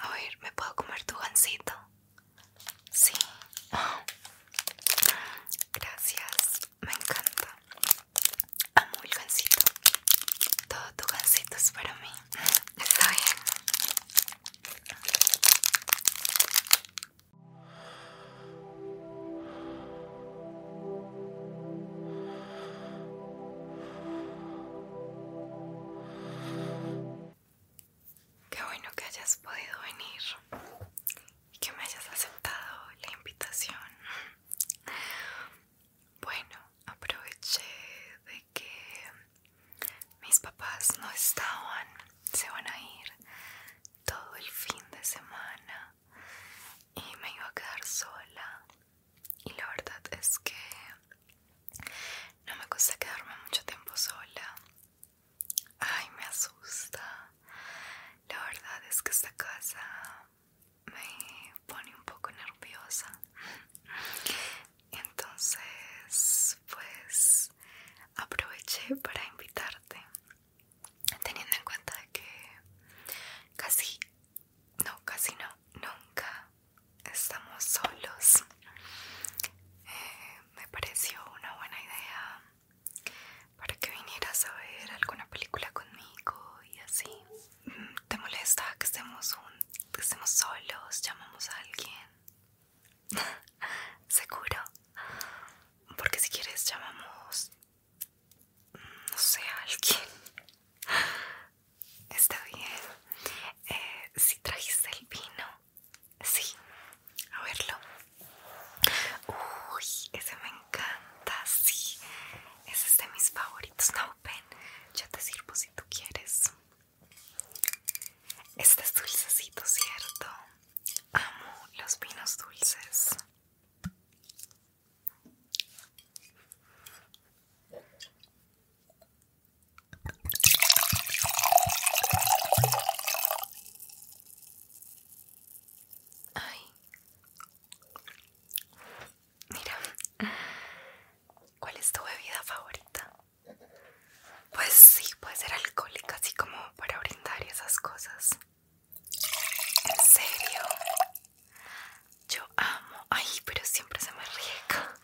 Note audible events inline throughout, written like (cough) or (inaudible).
A ver, ¿me puedo comer tu gancito? Sí. Gracias, me encanta. Amo el gancito Todo tu gancito es para mí. Está bien. Qué bueno que hayas podido venir y que me hayas aceptado la invitación. Bueno, aproveché de que mis papás no estaban, se van a ir todo el fin de semana y me iba a quedar sola y la verdad es que no me gusta quedarme mucho tiempo sola. Ay, me asusta. La verdad es que esta casa me pone un poco nerviosa. Entonces, pues aproveché para invitarte, teniendo en cuenta que casi no, casi no, nunca estamos solos. Eh, me pareció una buena idea para que vinieras a ver alguna película conmigo y así. ¿Te molesta que estemos, un, que estemos solos? ¿Llamamos a alguien? (laughs) ¿Seguro? Porque si quieres llamamos, no sé, a alguien. Está bien. Eh, si trajiste el vino, sí. A verlo. Uy, ese me encanta, sí. Ese es de mis favoritos. No, ven, yo te sirvo si tú quieres. Este es dulcecito, ¿cierto? Amo los vinos dulces. Ay. Mira. ¿Cuál es tu bebida favorita? Pues sí, puede ser alcohólica, así como para brindar y esas cosas. ¿En serio? Yo amo. Ay, pero siempre se me riega.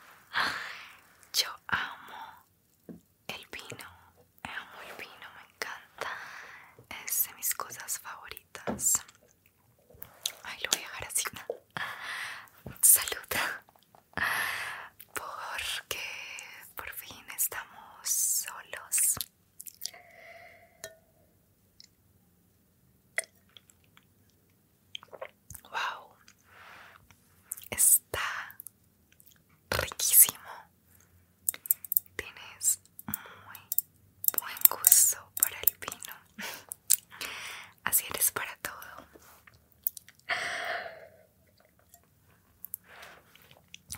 Yo amo el vino. Amo el vino, me encanta. Es de mis cosas favoritas. Ay, lo voy a dejar así. Saluda. Porque por fin estamos solos. Wow, está riquísimo. Tienes muy buen gusto para el vino. (laughs) Así eres para todo.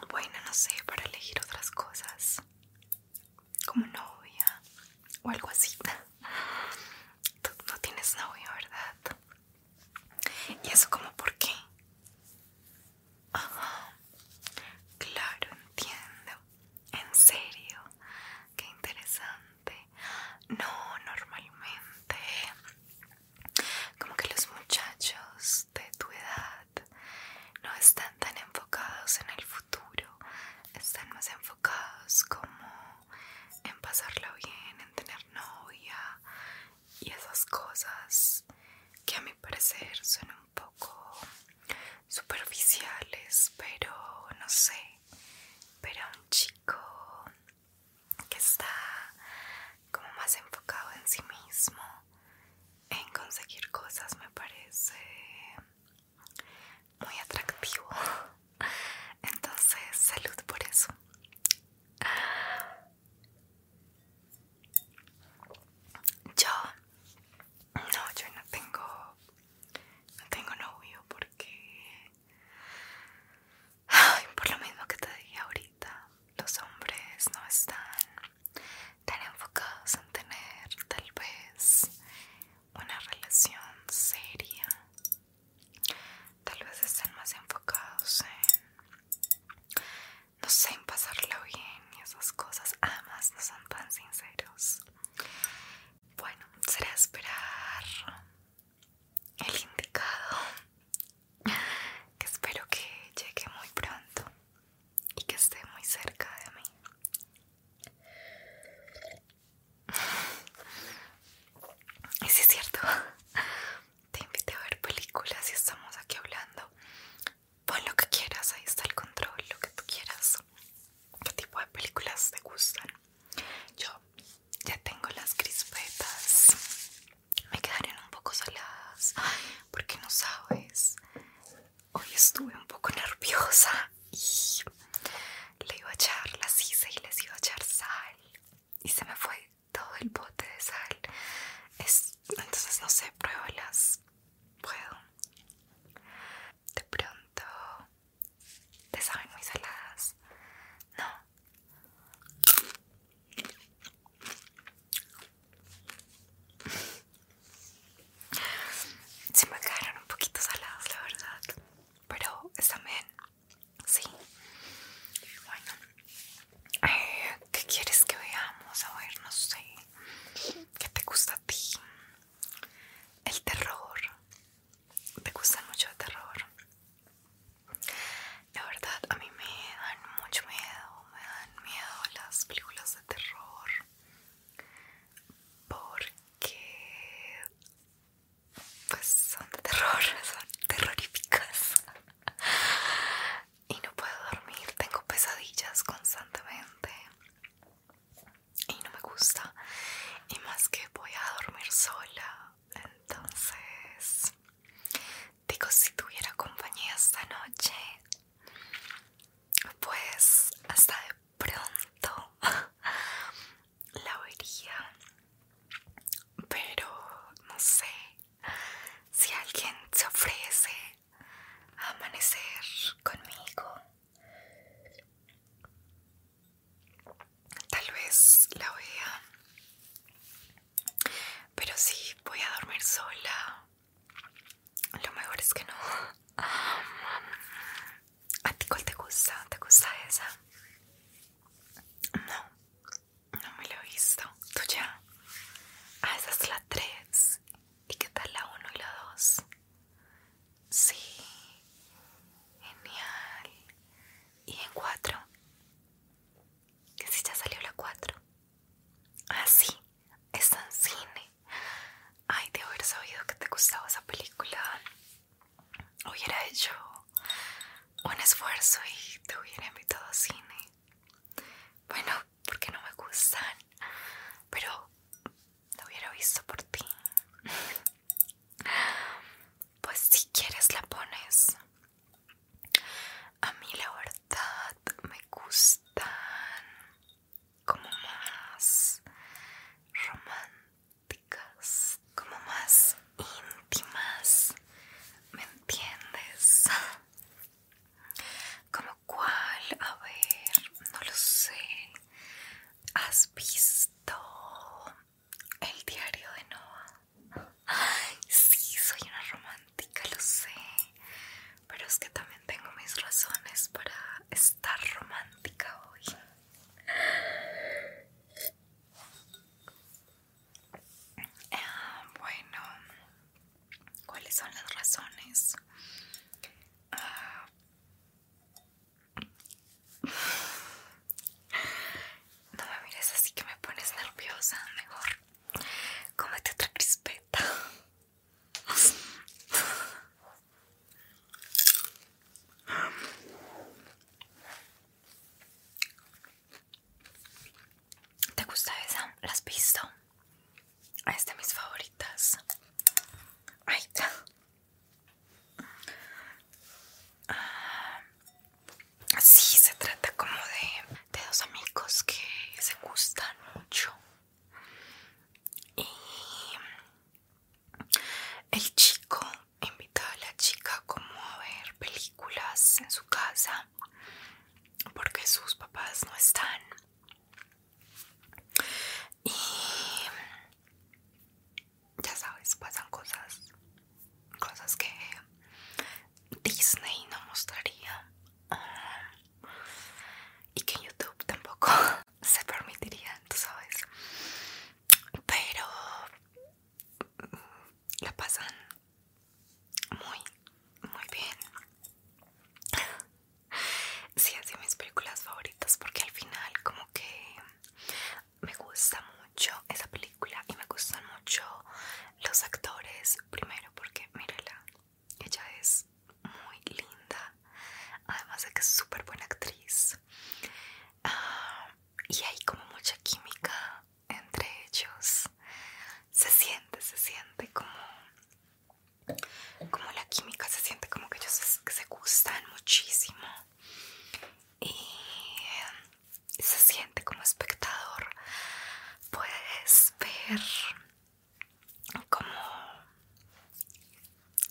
Bueno, no sé, para elegir otras cosas. Como novia, o algo así. (laughs) Tú no tienes novio, ¿verdad? ¿Y eso como por qué? Ajá. Claro, entiendo. En serio. Qué interesante. No, normalmente. Como que los muchachos de tu edad no están tan enfocados en el futuro están más enfocados como en pasarlo bien, en tener novia y esas cosas que a mi parecer son un poco superficiales, pero no sé, pero un chico que está como más enfocado en sí mismo, en conseguir cosas me parece muy atractivo (laughs) entonces salud por eso yo no yo no tengo no tengo novio porque por lo mismo que te dije ahorita los hombres no están tan enfocados en tener tal vez una relación seria. Tal vez estén más enfocados en, no sé, en pasarlo bien y esas cosas. Además, no son tan sinceros. Bueno, será esperar el indicado, que espero que llegue muy pronto y que esté muy cerca de mí. Y si es cierto, te invité a ver películas y estamos aquí hablando. Pon lo que quieras, ahí está el control, lo que tú quieras. ¿Qué tipo de películas te gustan? Yo ya tengo las crispetas. Me quedaré un poco saladas. porque no sabes hoy estuve un poco nerviosa y le iba a echar la hice y les iba a echar sal y se me fue todo el bote de sal. entonces no sé, pruébalas. Puedo. De pronto te saben muy saladas. No si me quedaron un poquito saladas, la verdad. Pero están bien. Sí. Bueno. Eh, ¿Qué quieres que veamos? A ver, no sé. ¿Qué te gusta a ti? El terror. ¿Te gusta mucho el terror? La verdad, a mí me dan mucho miedo. Me dan miedo las películas de terror. Porque que pues son de terror, (laughs) son terroríficas y no puedo dormir, tengo pesadillas constantemente y no me gusta y más que voy a dormir sola entonces digo si tuviera compañía esta noche pues hasta de pronto (laughs) la vería pero no sé si alguien se ofrece a amanecer conmigo tal vez la vea pero si voy a dormir sola lo mejor es que no ¿A ti cuál te gusta? ¿Te gusta esa? No, no me lo he visto. ¿Tú ya? Ah, esa es la 3. ¿Y qué tal la 1 y la 2? Sí, genial. ¿Y en 4? Que si ya salió la 4. Ah, sí, está en cine. Ay, de haber sabido que te gustaba esa película, hubiera hecho un esfuerzo y te hubiera invitado a cine. Bueno, porque no me gustan, pero lo hubiera visto por ti. (laughs) Pues si quieres la pones. A mí la verdad me gustan como más románticas, como más íntimas, ¿me entiendes? (laughs) Como cuál, a ver, no lo sé. ¿Has visto el diario de Noah? Ay, sí, soy una romántica, lo sé. Pero es que también tengo mis razones para estar romántica hoy. Ah, bueno, ¿cuáles son las razones? Ah, no me mires así que me pones nerviosa, mejor. Cómete otra crispeta. ¿Te gusta esa? ¿La has visto? Es de mis favoritas. Ay. Ah, sí, se trata como de, de dos amigos que se gustan mucho y el chico invita a la chica como a ver películas en su casa porque sus papás no están. Y ya sabes, pasan cosas, cosas que Disney no mostraría. Ah, y que YouTube tampoco (laughs) se permitirían, tú sabes. Pero mm, la pasan muy, muy bien. Sí, así mis películas favoritas porque al final como que me gusta mucho esa película y me gustan mucho los actores. Primero porque, mírala, ella es muy linda, además de que es súper buena actriz. Ah, y hay como mucha química entre ellos. Se siente, se siente como, como la química, se siente como que ellos se, se gustan muchísimo. Y eh, se siente como espectador, puedes ver como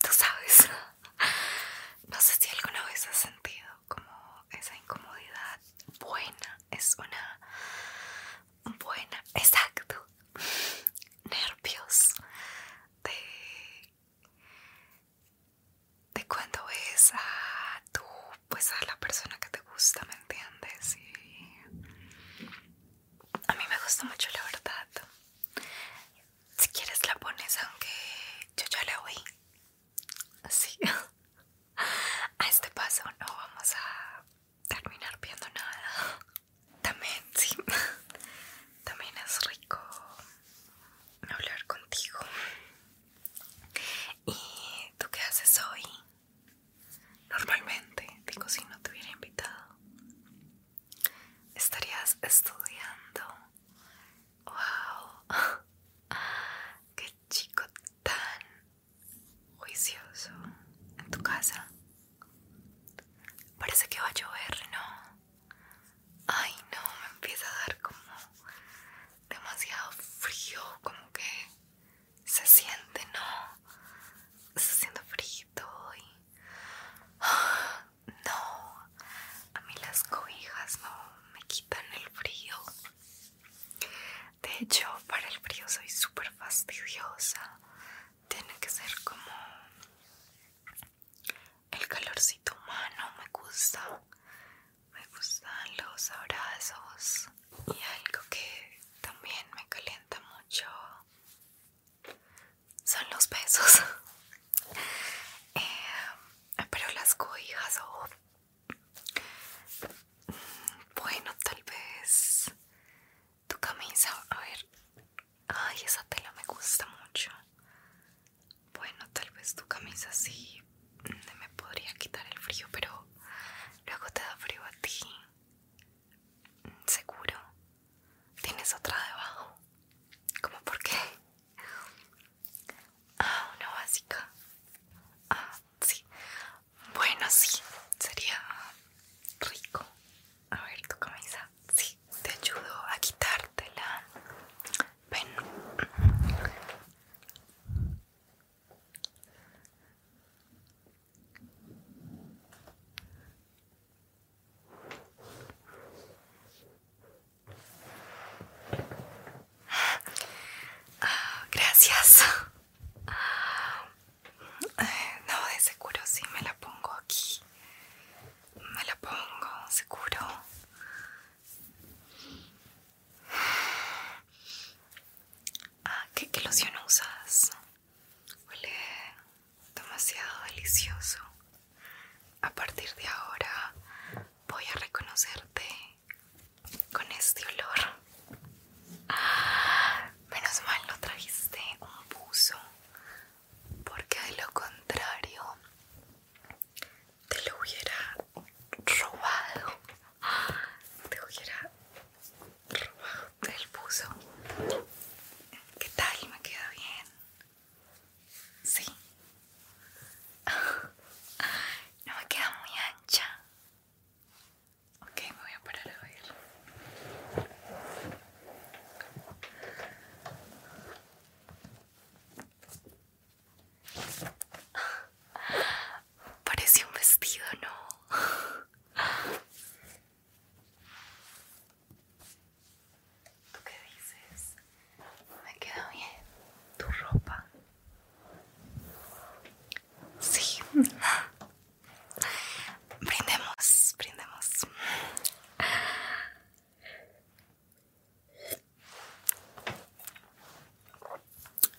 tú sabes (laughs) no sé si alguna vez has sentido como esa incomodidad buena es una buena exacto (laughs) nervios de de cuando ves a tú pues a la persona que te gusta me entiendes y a mí me gusta mucho la verdad. Si quieres la pones aunque yo ya la oí. Así. (laughs) A este paso no vamos a terminar viendo nada. También, sí. (laughs) También es rico hablar contigo. ¿Y tú qué haces hoy? Normalmente, digo, si no te hubiera invitado, estarías estudiando. ¡Wow! (laughs) ¡Qué chico tan juicioso en tu casa! Parece que va a llover, ¿no? Ay, no, me empieza a dar como demasiado frío, como que se siente, ¿no? Está siendo frío y (sighs) No, a mí las cobijas no me quitan el frío. De hecho, para el frío soy súper fastidiosa. Tiene que ser como el calorcito humano, me gusta. Me gustan los abrazos y algo que también me calienta mucho son los besos. (laughs) Eh, pero las coijas o... Oh. bueno, tal vez tu camisa. A ver. Ay, esa tela me gusta mucho. Bueno, tal vez tu camisa sí mm, me podría quitar el frío, pero luego te da frío a ti. Seguro. Tienes otra debajo. ¿Cómo por qué? Ah, una básica. Ah, sí. Bueno, sí. Sería rico. A ver, tu camisa. Sí. Te ayudo a quitártela. Ven. Ah, gracias. (sighs) no, de seguro sí me la pongo aquí. Me la pongo, seguro. (sighs) Ah, ¿qué, qué loción usas? Huele demasiado delicioso. A partir de ahora voy a reconocerte con este olor. Ah, menos mal no trajiste un buzo, porque de lo contrario te lo hubiera robado. Ah, te hubiera el del ¿Qué tal? ¿Me queda bien? Sí. No me queda muy ancha. Ok, me voy a parar a ver. Parece un vestido, ¿no? ¿Tú qué dices? ¿Me queda bien tu ropa? Sí. Brindemos, brindemos.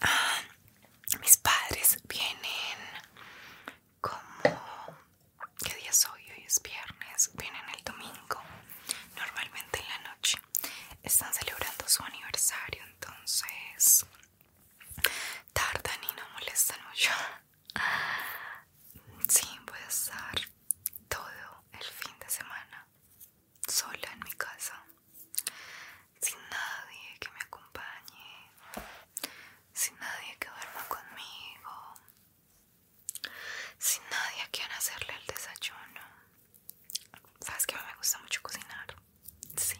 Ah, mis padres vienen como qué día es hoy, hoy es viernes, vienen el domingo, normalmente en la noche, están celebrando su aniversario, entonces tardan y no molestan mucho. Sí, voy a estar todo el fin de semana sola en mi casa sin nadie que me acompañe, sin nadie que duerma conmigo, sin nadie a quien hacerle el desayuno. Sabes que me gusta mucho cocinar, sí,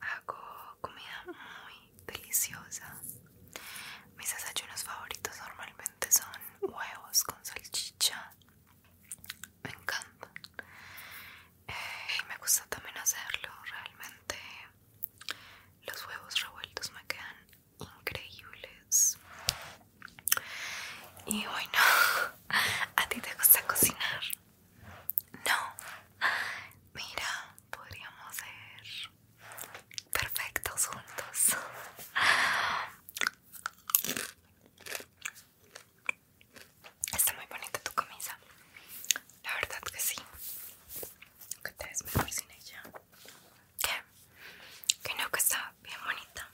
hago comida muy deliciosa. Mis desayunos favoritos normalmente son huevos con salchicha, me encantan. Eh, y me gusta también hacerlo, realmente los huevos revueltos me quedan increíbles. Y bueno, (laughs) ¿a ti te gusta cocinar? No. Mira, podríamos ser perfectos juntos. Está muy bonita tu camisa. La verdad que sí. Que te ves mejor sin ella. ¿Qué? Que no, que está bien bonita.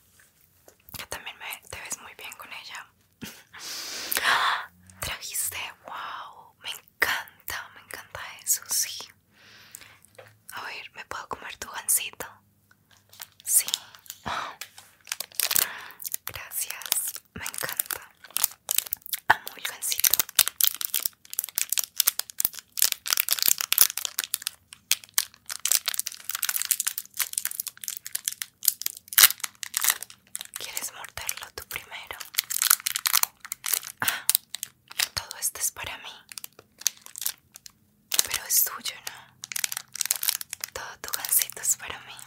Que también me, te ves muy bien con ella. (gasps) Trajiste, wow. Me encanta, me encanta eso, sí. A ver, ¿me puedo comer tu gancito? Sí. (gasps) Gracias me encanta amo el gancito. ¿Quieres morderlo tú primero? Ah, todo esto es para mí. Pero es tuyo, ¿no? Todo tu gancito es para mí.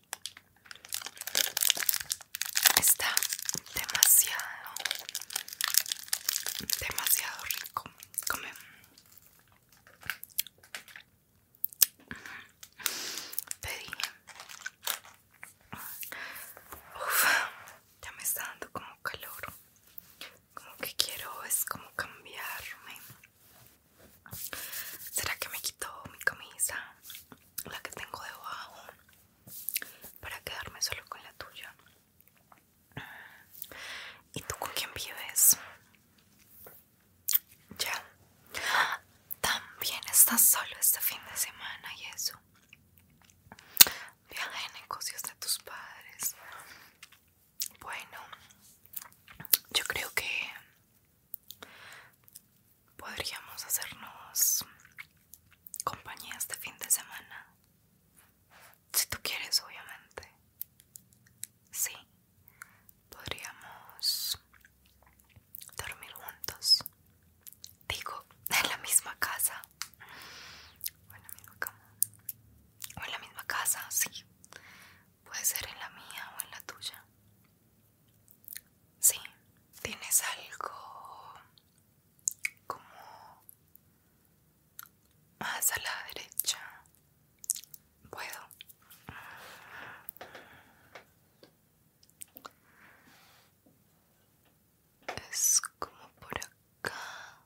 Está demasiado, demasiado rico. Come. Pedí. Uf, ya me está dando como calor. Como que quiero es como cambiarme. ¿Será que me quito mi camisa? la que tengo debajo para quedarme solo con la tuya. ¿Y tú con quién vives? Ya. También estás solo este fin de semana y eso. Viaje de negocios de tus padres. Bueno, yo creo que podríamos hacernos compañía este fin de semana. Si tú quieres, obviamente. Sí, podríamos dormir juntos. Digo, (laughs) en la misma casa. O en la misma cama. O en la misma casa, sí. Puede ser en la mía o en la tuya. Sí, tienes algo como más a la derecha. Puedo. Es como por acá.